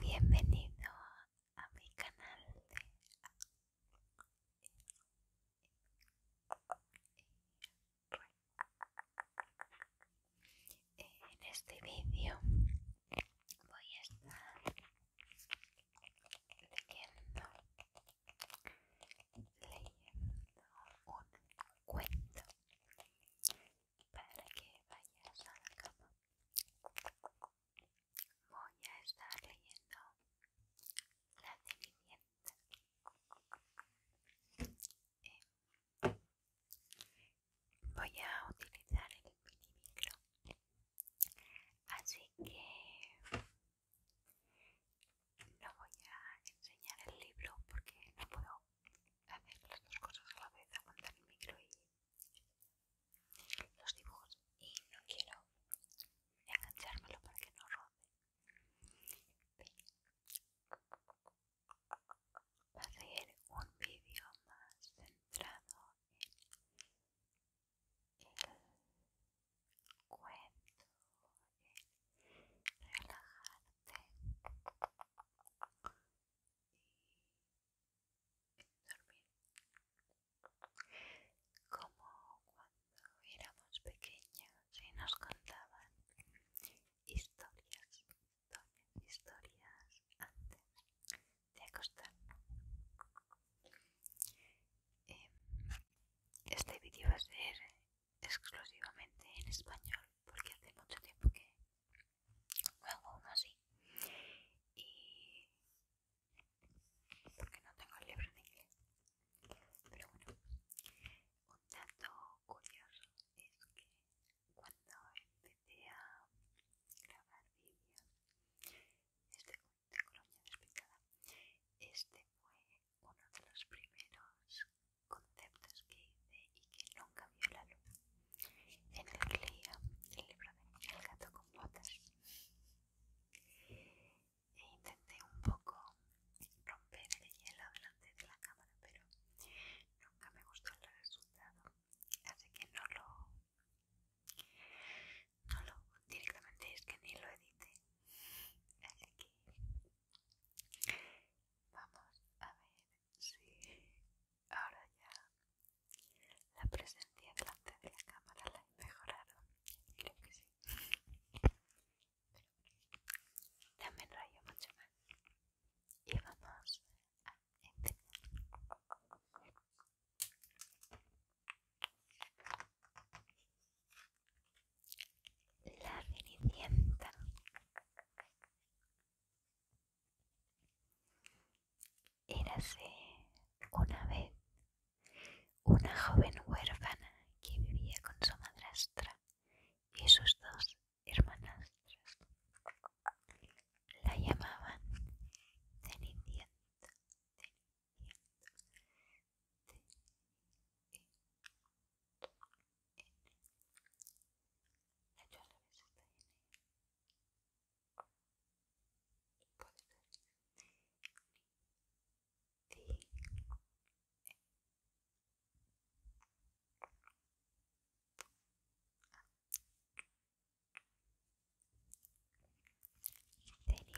Bienvenido a mi canal de en este vídeo voy a estar leyendo, un cuento para que vayas a la cama. Voy a estar leyendo La divinidad. Eh, voy a utilizar el mini micro así que no voy a enseñar el libro porque no puedo hacer las dos cosas a la vez aguantar el micro y los dibujos y no quiero enganchármelo para que no roce ser un vídeo más centrado en el cuento, en relajarte y en dormir como cuando cuando éramos pequeños y nos contaban historias, historias, antes de acostarnos. Em, este vídeo va a ser exclusivamente en español porque hace mucho tiempo que juego hago uno así y porque no tengo el libro en inglés pero bueno, un dato curioso es que cuando empecé a grabar vídeos, este, este fue uno de los primeros conceptos que hice y que nunca vio la luz, en el que el libro de El gato con botas. E intenté un poco romper el hielo delante de la cámara, pero nunca me gustó el resultado, así que no lo, directamente es que ni lo edité, así que vamos a ver si ahora ya la presencia delante de la cámara la he mejorado, creo que sí también rayo mucho más y vamos a empezar la cenicienta érase una vez una joven huérfana que vivía con su madrastra y sus dos hermanas la llamaban Cenicienta. Cenicienta.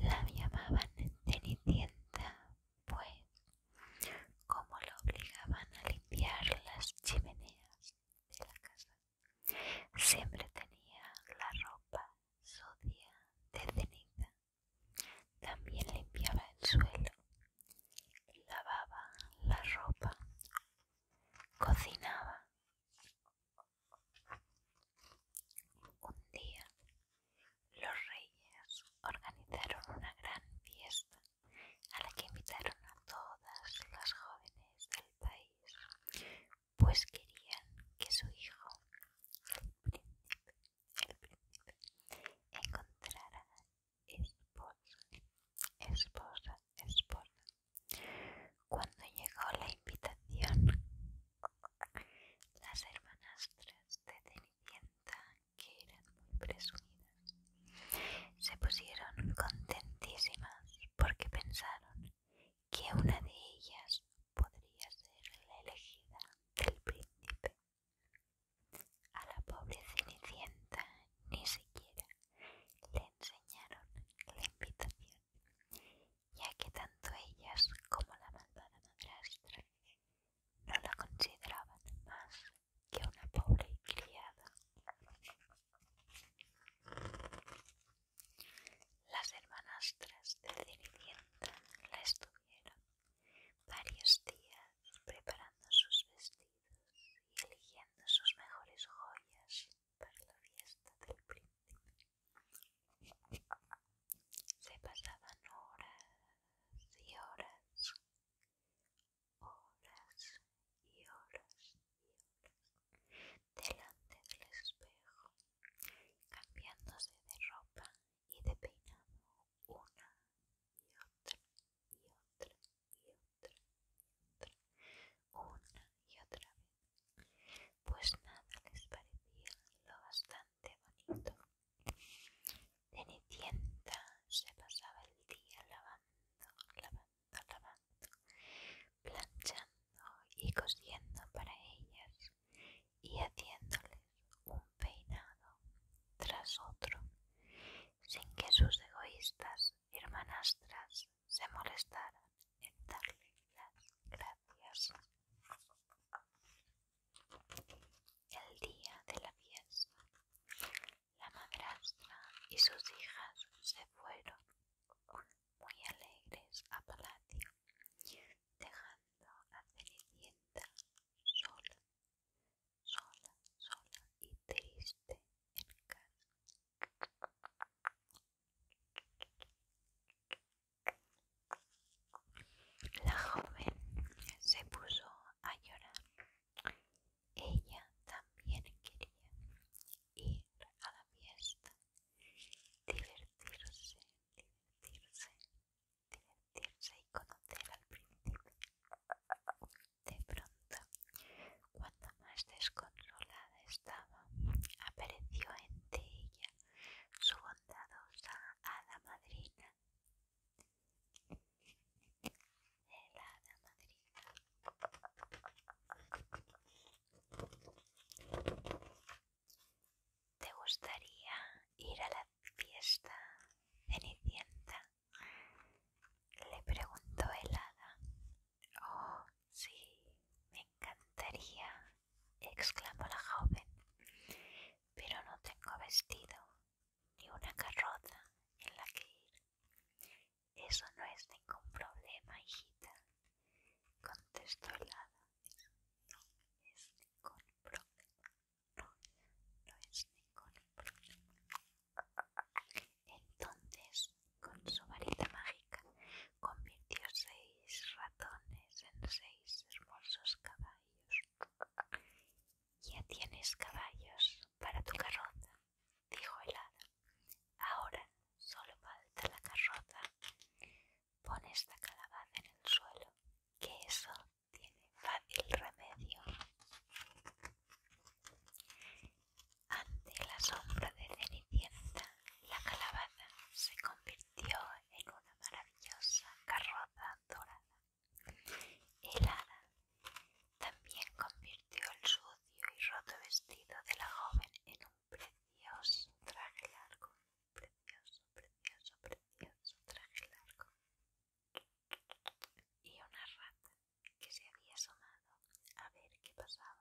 La llamaban Tenienta, pues, como la obligaban a limpiar las chimeneas de la casa, siempre tenía la ropa sucia de ceniza también limpiaba el suelo, lavaba la ropa, cocinaba. Un día los reyes organizaron una gran fiesta a la que invitaron a todas las jóvenes del país, pues querían que su hijo, encontrar encontrará esposa, esposa, esposa. Cuando llegó la invitación, las hermanastras de Cenicienta, que eran muy presumidas, se pusieron contentísimas porque pensaron que una de ellas podría ser la elegida del príncipe. A la pobre Cenicienta ni siquiera le enseñaron la invitación, ya que tanto ellas como la malvada madrastra no la consideraban más que una pobre criada las hermanastras del Cenicienta la estuvieron varios días preparando sus vestidos y eligiendo sus mejores joyas para la fiesta del príncipe. Se pasaban horas y horas, horas y horas y horas delante del espejo, cambiándose de ropa y de peinado una y otra y otra y otra y otra una y otra vez pues nada les parecía lo bastante bonito Cenicienta se pasaba el día lavando lavando lavando planchando y cosiendo para ellas y haciéndoles un peinado tras otro, sin que sus egoístas hermanastras se molestaran en darle las gracias. El día de la fiesta, la madrastra y sus hijas se fueron muy alegres a palacio dejando a Cenicienta sola, sola, sola y triste en casa. La joven se puso a llorar. Ella también quería ir a la fiesta, divertirse, divertirse divertirse y conocer al principio De pronto, cuando más desconsolada estaba, apareció entre ella su bondadosa hada madrina. El hada madrina ¿Te gustaría ir a la fiesta Cenicienta? Le preguntó el hada. Oh, sí, me encantaría, exclamó la joven, pero no tengo vestido ni una carroza en la que ir. Eso no es ningún problema, hijita, contestó el hada no es Entonces, con su varita mágica, convirtió seis ratones en seis hermosos caballos. Ya tienes caballos para tu carroza, dijo el hada. Ahora solo falta la carroza. Pone esta calabaza en el suelo, que eso tiene fácil remedio. Ante la sombra de Cenicienta, la calabaza se convirtió en una maravillosa carroza dorada. El ara también convirtió el sucio y roto vestido de la joven en un precioso traje largo precioso, precioso, precioso traje largo. Y una rata que se había asomado a ver qué pasaba.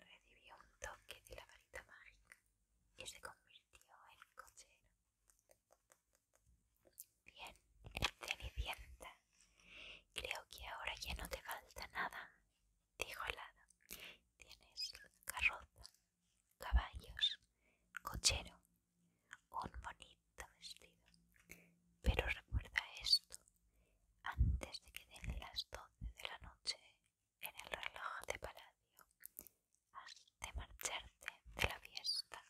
Recibió un toque de la varita mágica y se convirtió en cochero. Bien, Cenicienta, creo que ahora ya no te falta nada dijo el Tienes carroza, caballos, cochero, un bonito vestido. Pero recuerda esto, antes de que den las doce de la noche en el reloj de palacio, has de marcharte de la fiesta.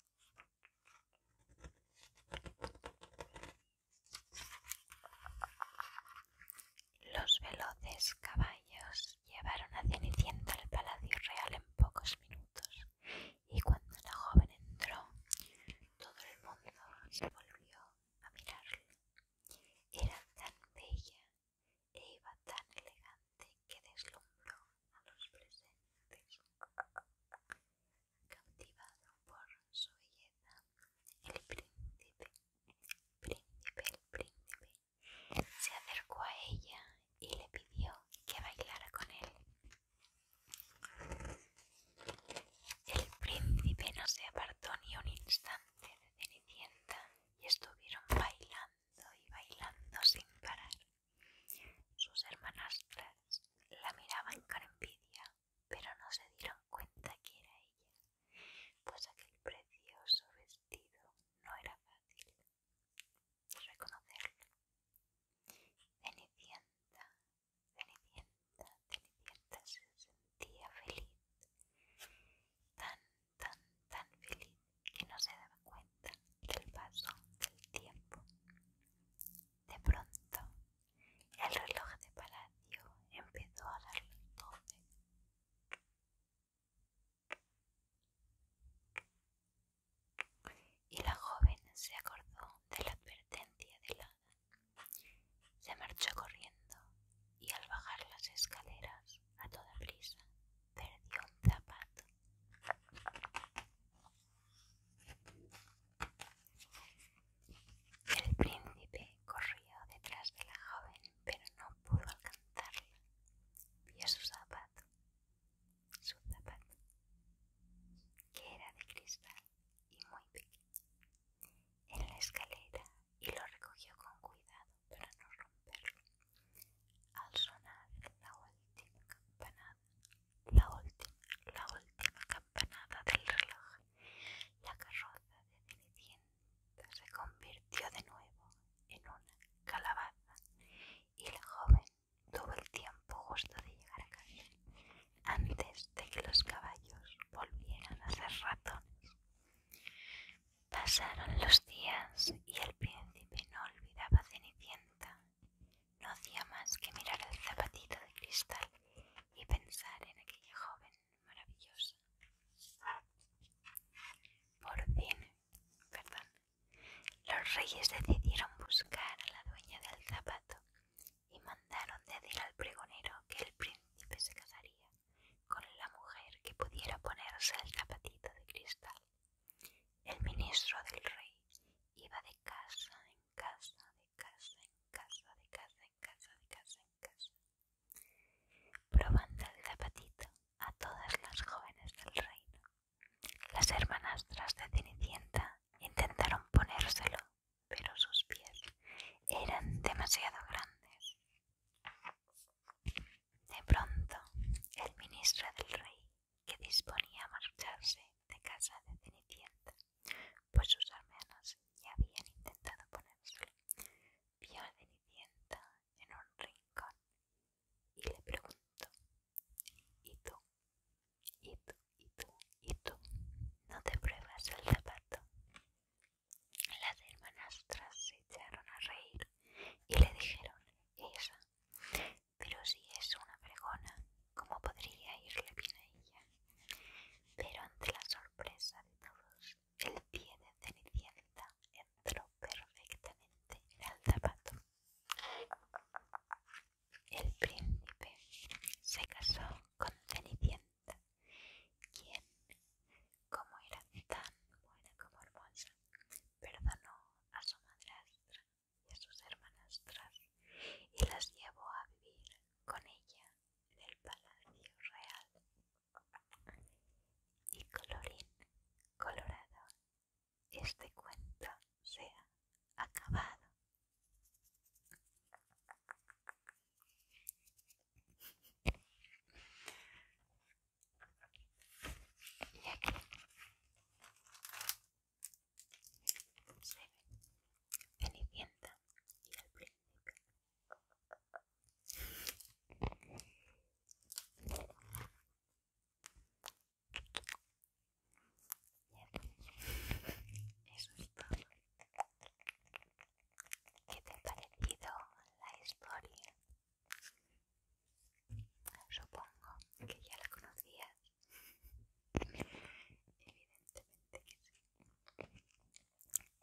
Los veloces caballos llevaron a Cenicienta al palacio real en pocos minutos, y cuando la joven entró, todo el mundo se volvió a mirarla. Era tan bella e iba tan elegante que deslumbró a los presentes. Cautivado por su belleza, el príncipe príncipe, el príncipe, se acercó a ella y le pidió que bailara con él. El príncipe no se apartó ni un instante de Cenicienta y estuvieron bailando y bailando sin parar. Sus hermanastras la miraban con envidia pero no se dieron cuenta que era ella, pues aquel precioso vestido no era fácil reconocerlo. Cenicienta, Cenicienta, Cenicienta se sentía feliz, tan, tan, tan feliz que no se daba cuenta del paso del tiempo. De pronto el reloj de palacio empezó a dar un doce. Y la joven se acordó de la advertencia de hada. Se marchó corriendo y al bajar las escaleras a toda prisa perdió un zapato. El príncipe corrió detrás de la joven, pero no pudo alcanzarla. Vio su zapato, su zapato, que era de cristal y muy pequeño, en la escalera y lo recogió con cuidado para no romperlo. Al sonar la última campanada, la última, la última campanada del reloj, la carroza de se convirtió de nuevo en una calabaza y la joven tuvo el tiempo justo de llegar a casa antes de que los caballos volvieran a ser ratones. Pasaron los días y el príncipe no olvidaba Cenicienta. No hacía más que mirar el zapatito de cristal y pensar en aquella joven maravillosa. Por fin, perdón, los reyes decidieron buscar a la dueña del zapato y mandaron decir al pregonero que el príncipe se casaría con la mujer que pudiera ponerse el zapatito de cristal. El ministro del rey iba de casa en casa, de casa en casa, de casa en casa, de casa en casa, Probando el zapatito a todas las jóvenes del reino, las hermanastras de Cenicienta intentaron ponérselo, pero sus pies eran demasiado grandes. De pronto, el ministro del rey, que disponía a marcharse de casa de Cenicienta, pues sus hermanas ya habían intentado ponérselo, vio a en un rincón y le preguntó, ¿y tú? ¿Y tú? ¿Y tú? ¿Y tú? ¿No te pruebas el zapato? Las hermanastras se echaron a reír y le dijeron, esa, pero si es una fregona, ¿cómo podría irle bien a ella? Pero ante la sorpresa de todos, el pie de Cenicienta entró perfectamente en el zapato. El príncipe se casó con Cenicienta, quien, como era tan buena como hermosa, perdonó a su madrastra y a sus hermanastras y las llevó a vivir con ella en el palacio real y colorín colorado, este cuento se ha acabado. Y aquí se ve y el príncipe ¿Qué te ha parecido la historia? Supongo que ya la conocías. Evidentemente que sí.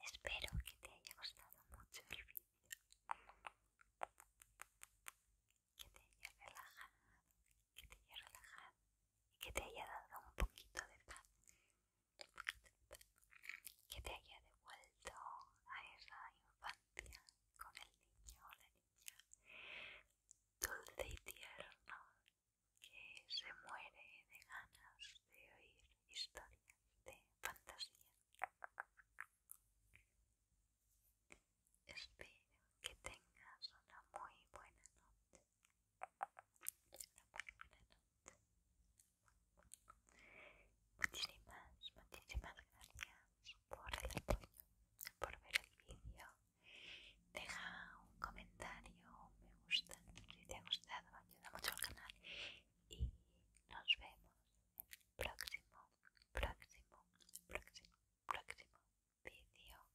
Espero que te haya gustado mucho el vídeo, que te haya relajado, que te haya que te haya dado un poquito de paz, que te haya devuelto a esa infancia con el niño o la niña dulce y tierno que se muere de ganas de oír historias de fantasía. Espero que tengas una muy buena noche. Muchísimas, muchísimas gracias por el apoyo, por ver el vídeo. Deja un comentario, un me gusta si te ha gustado, ayuda mucho al canal y nos vemos en el próximo, próximo, próximo, próximo vídeo.